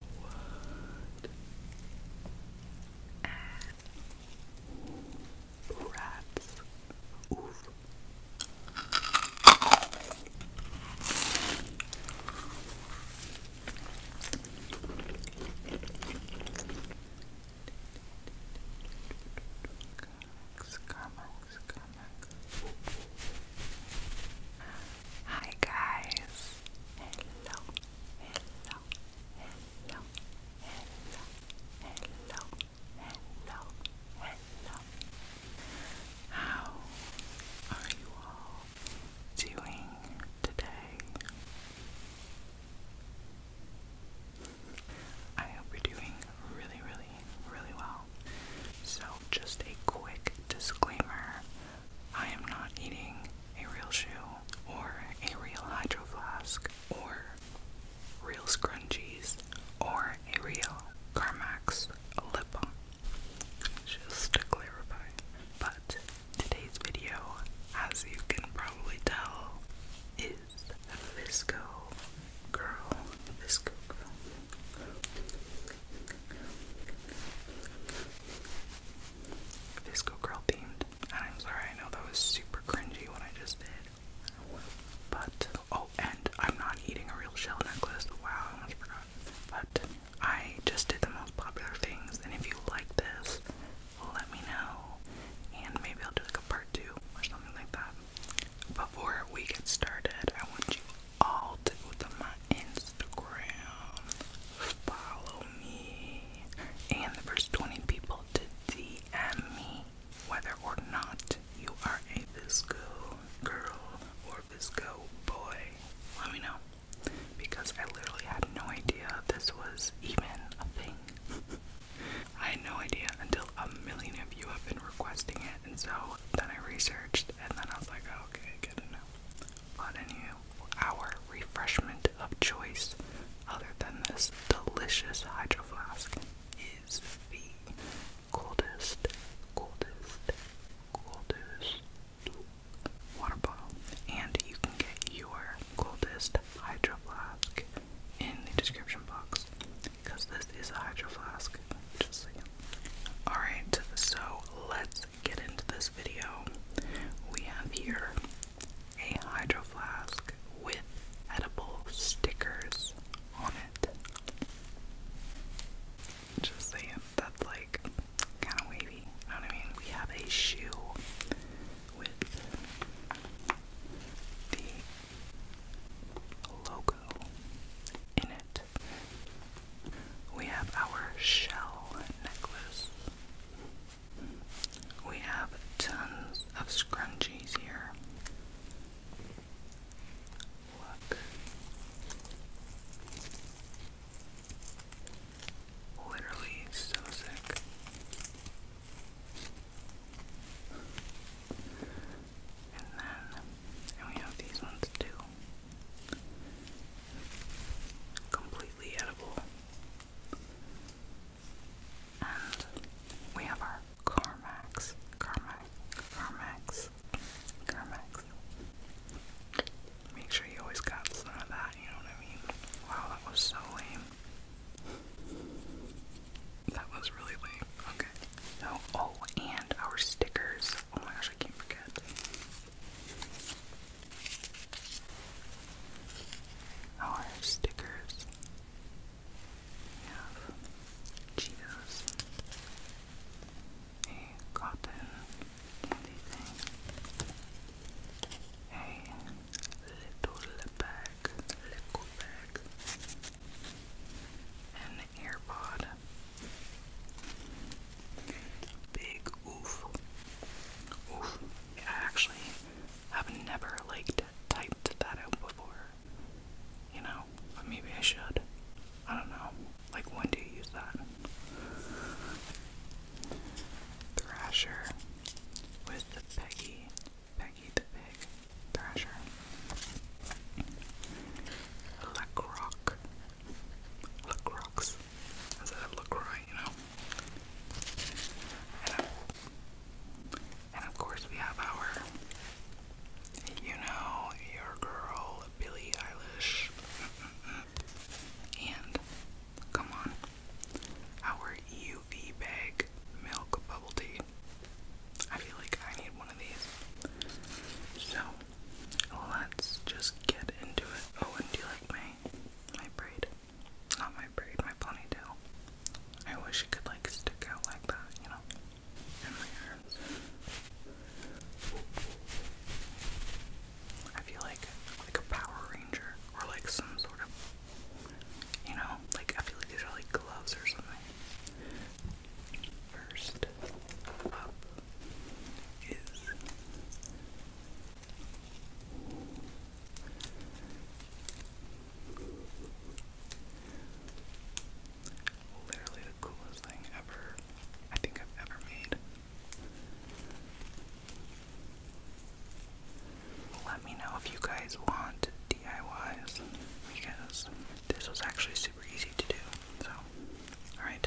Wood and rats. Oof. Hi guys. Hello. Hello. Hello. Hello. Hello. Hello. How are you all doing today? I hope you're doing really, really, really well. So, just a quick disclaimer I am not eating a real shoe or a real hydro flask or real scrunchies or a real Carmax lip balm. Just to clarify. But today's video, as you can probably tell, is a Fisco Girl. Girl. Visco Girl themed. And I'm sorry, I know that was super cringy what I just did. But, oh, and I'm not eating a real shell necklace. Wow, I almost forgot. But I just did the most popular things, and if you like this, let me know. And maybe I'll do like a part two or something like that. Before we get started, I want you all to, with the Instagram. Follow me. And the first 20 people to DM me whether or not you are a Visco girl or Visco boy. Let me know. Because I literally had no idea this was even a thing. I had no idea until a million of you have been requesting it, and so then I researched, and then I was like, oh, okay, good enough on any our refreshment of choice other than this delicious hydro flask is the coldest, coldest, coldest water bottle. And you can get your coldest hydro flask in the description box because this is a hydro flask. Just Alright, so let's get into this video. We have here a hydro flask with edible stickers on it. Just saying, that's like kind of wavy. You know what I mean? We have a shoe with the logo in it. We have our shell necklace. We have tons of scrunchies here. Look. Literally so sick. And then, we have these ones too completely edible. And we have our Carmax, Carmax, Carmax, Carmax. Make sure you always got some of that, you know what I mean? Wow, that was so lame. That was really lame. Okay. So, oh, and our stickers. Oh my gosh, I can't forget. Our oh, stickers. We have Cheetos. A cotton candy thing. A little bag. Little bag. An AirPod. Big oof. Oof. I actually have never liked typed that out before. You know, but maybe I should. I don't know. Like when do you use that? Thrasher. With the Peggy. Peggy the Pig. Thrasher. Black Rock. Lucrux. Instead of LaCroix, you know? Um, and of course we have our, you know, your girl, Billie Eilish. and, come on, our UV bag milk bubble tea. I feel like I need one of these. So, Let's just get into it. Oh, and do you like my my braid? Not my braid, my ponytail. I wish it could like stick out like that, you know. in my arms. I feel like like a Power Ranger or like some sort of you know, like I feel like these are like gloves or something. First up is Literally the coolest thing ever I think I've ever made. Let me know if you guys want DIYs because this was actually super easy to do. So, alright.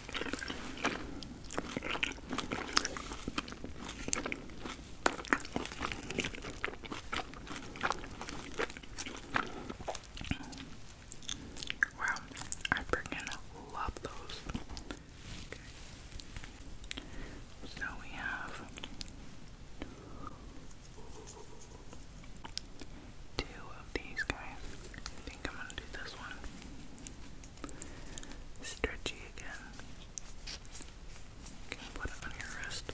Wow, I freaking love those. So we have two of these guys. I think I'm gonna do this one. Stretchy again. You put it on your wrist.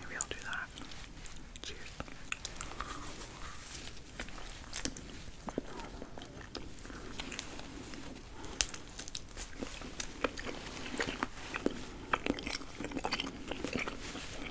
Maybe I'll do that. Cheers.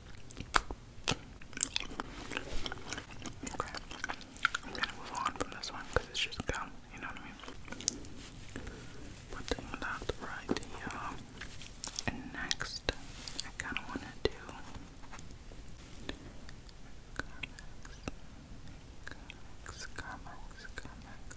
Okay. I'm gonna move on from this one because it's just gum, you know what I mean? Putting that right here. And next, I kinda wanna do. Comics, comics, comics.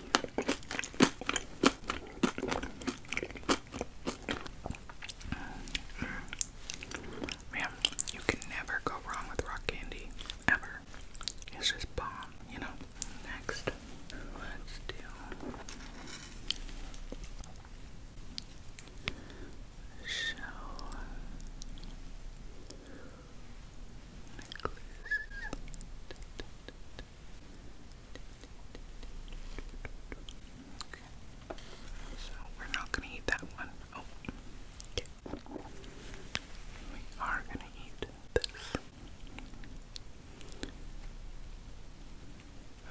Mm. Man, you can never go wrong with rock candy. Ever. It's just bomb, you know? Next, let's do. So. Necklace. Okay. So we're not gonna eat that one. Oh. We are gonna eat this.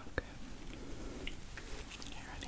Okay. You ready?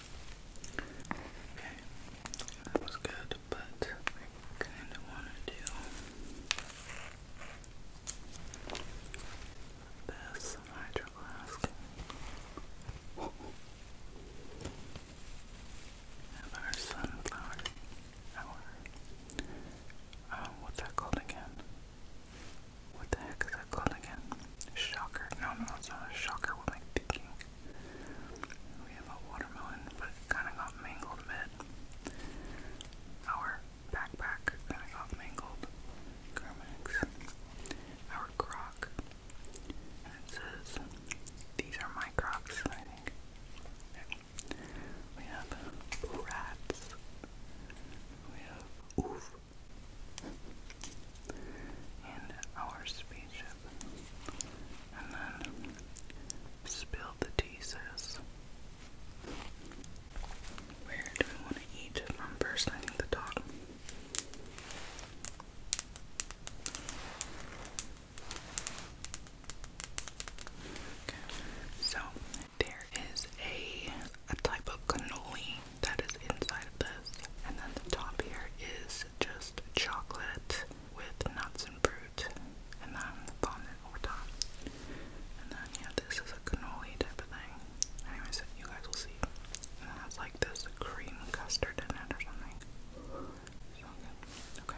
Okay, that was good, but I kind of want to do this hydro flask. our sunflower, our, oh, what's that called again? What the heck is that called again? Shocker. No, no, it's not a shocker. What am I thinking? We have a watermelon, but it kind of got mangled a bit. Our backpack kind of got mangled. Our croc. it says, these are my crocs, I think. We have rats. We have oof in our spaceship. And then spilled the tea, sis. Where do we want to eat from first? I need the dog. So there is a a type of cannoli that is inside of this, and then the top here is just chocolate with nuts and fruit, and then fondant over top. And then, yeah, this is a cannoli type of thing. Anyways, you guys will see. And then it's like this cream custard in it or something. Okay.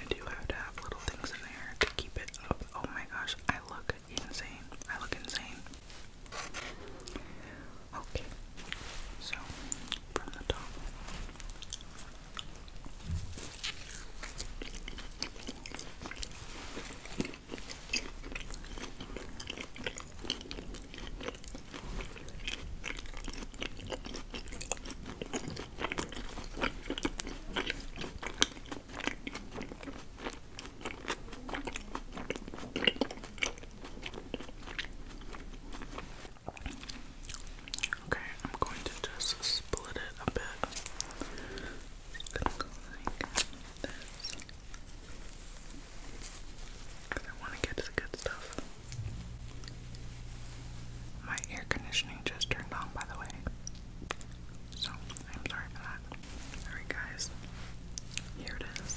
I do have to have little things in there to keep it up. Oh my gosh, I look insane. I look insane. Okay, so from the top. Okay, I'm going to just split it a bit. like this. Because I want to get to the good stuff. My air conditioning just turned on, by the way. So, I'm sorry for that. Alright, guys. Here it is.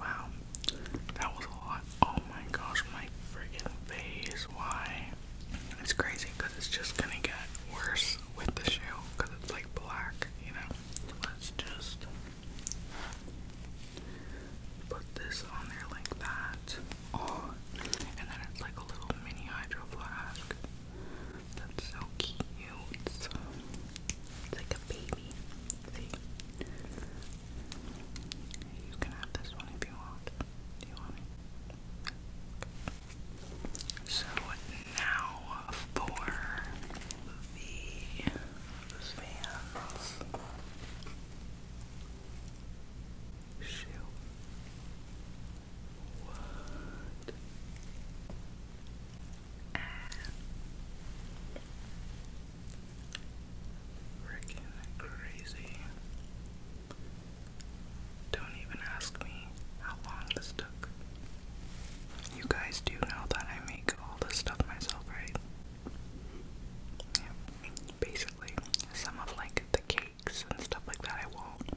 Wow, that was a lot. Oh my gosh, my freaking face. Why? It's crazy because it's just gonna get worse with the shoe because it's like black, you know? Let's just put this on there like that. Oh, and then it's like a little mini hydro flask. That's so cute. It's, um, like a baby. You can have this one if you want. Do you want So now for the fans shoe. What? freaking crazy. Don't even ask me how long this took. You guys do know that I make all this stuff myself, right? Yeah. Basically, some of like the cake and stuff like that, I won't.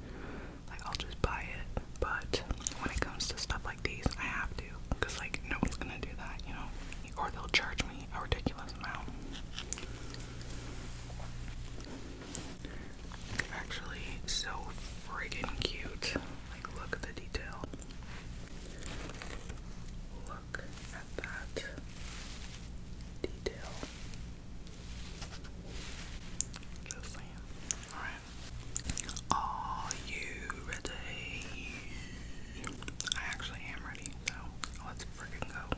Like, I'll just buy it. But when it comes to stuff like these, I have to. Because, like, no one's gonna do that, you know? Or they'll charge me a ridiculous amount. Actually, so friggin' cute. Like, look at the detail. Look at that detail. Just saying. Alright. Are you ready? I actually am ready, so let's freaking go.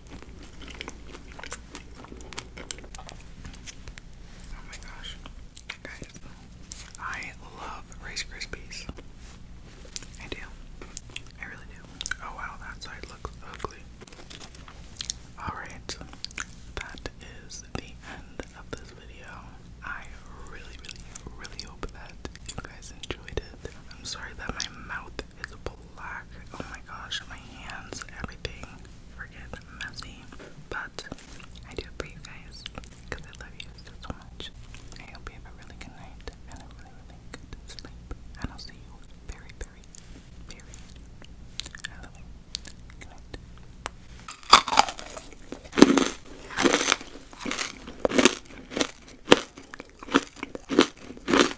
Oh my gosh. Guys, I love Rice Krispies. I do. I really do. Oh wow, that side looks ugly. Alright, that is the end of this video. I really, really, really hope that you guys enjoyed it. I'm sorry that my mouth black. It's black. Oh my gosh, my hands, everything freaking messy. But I do it for you guys because I love you so, so much. I hope you have a really good night and a really, really good sleep. I'll see you very, very, very Good night.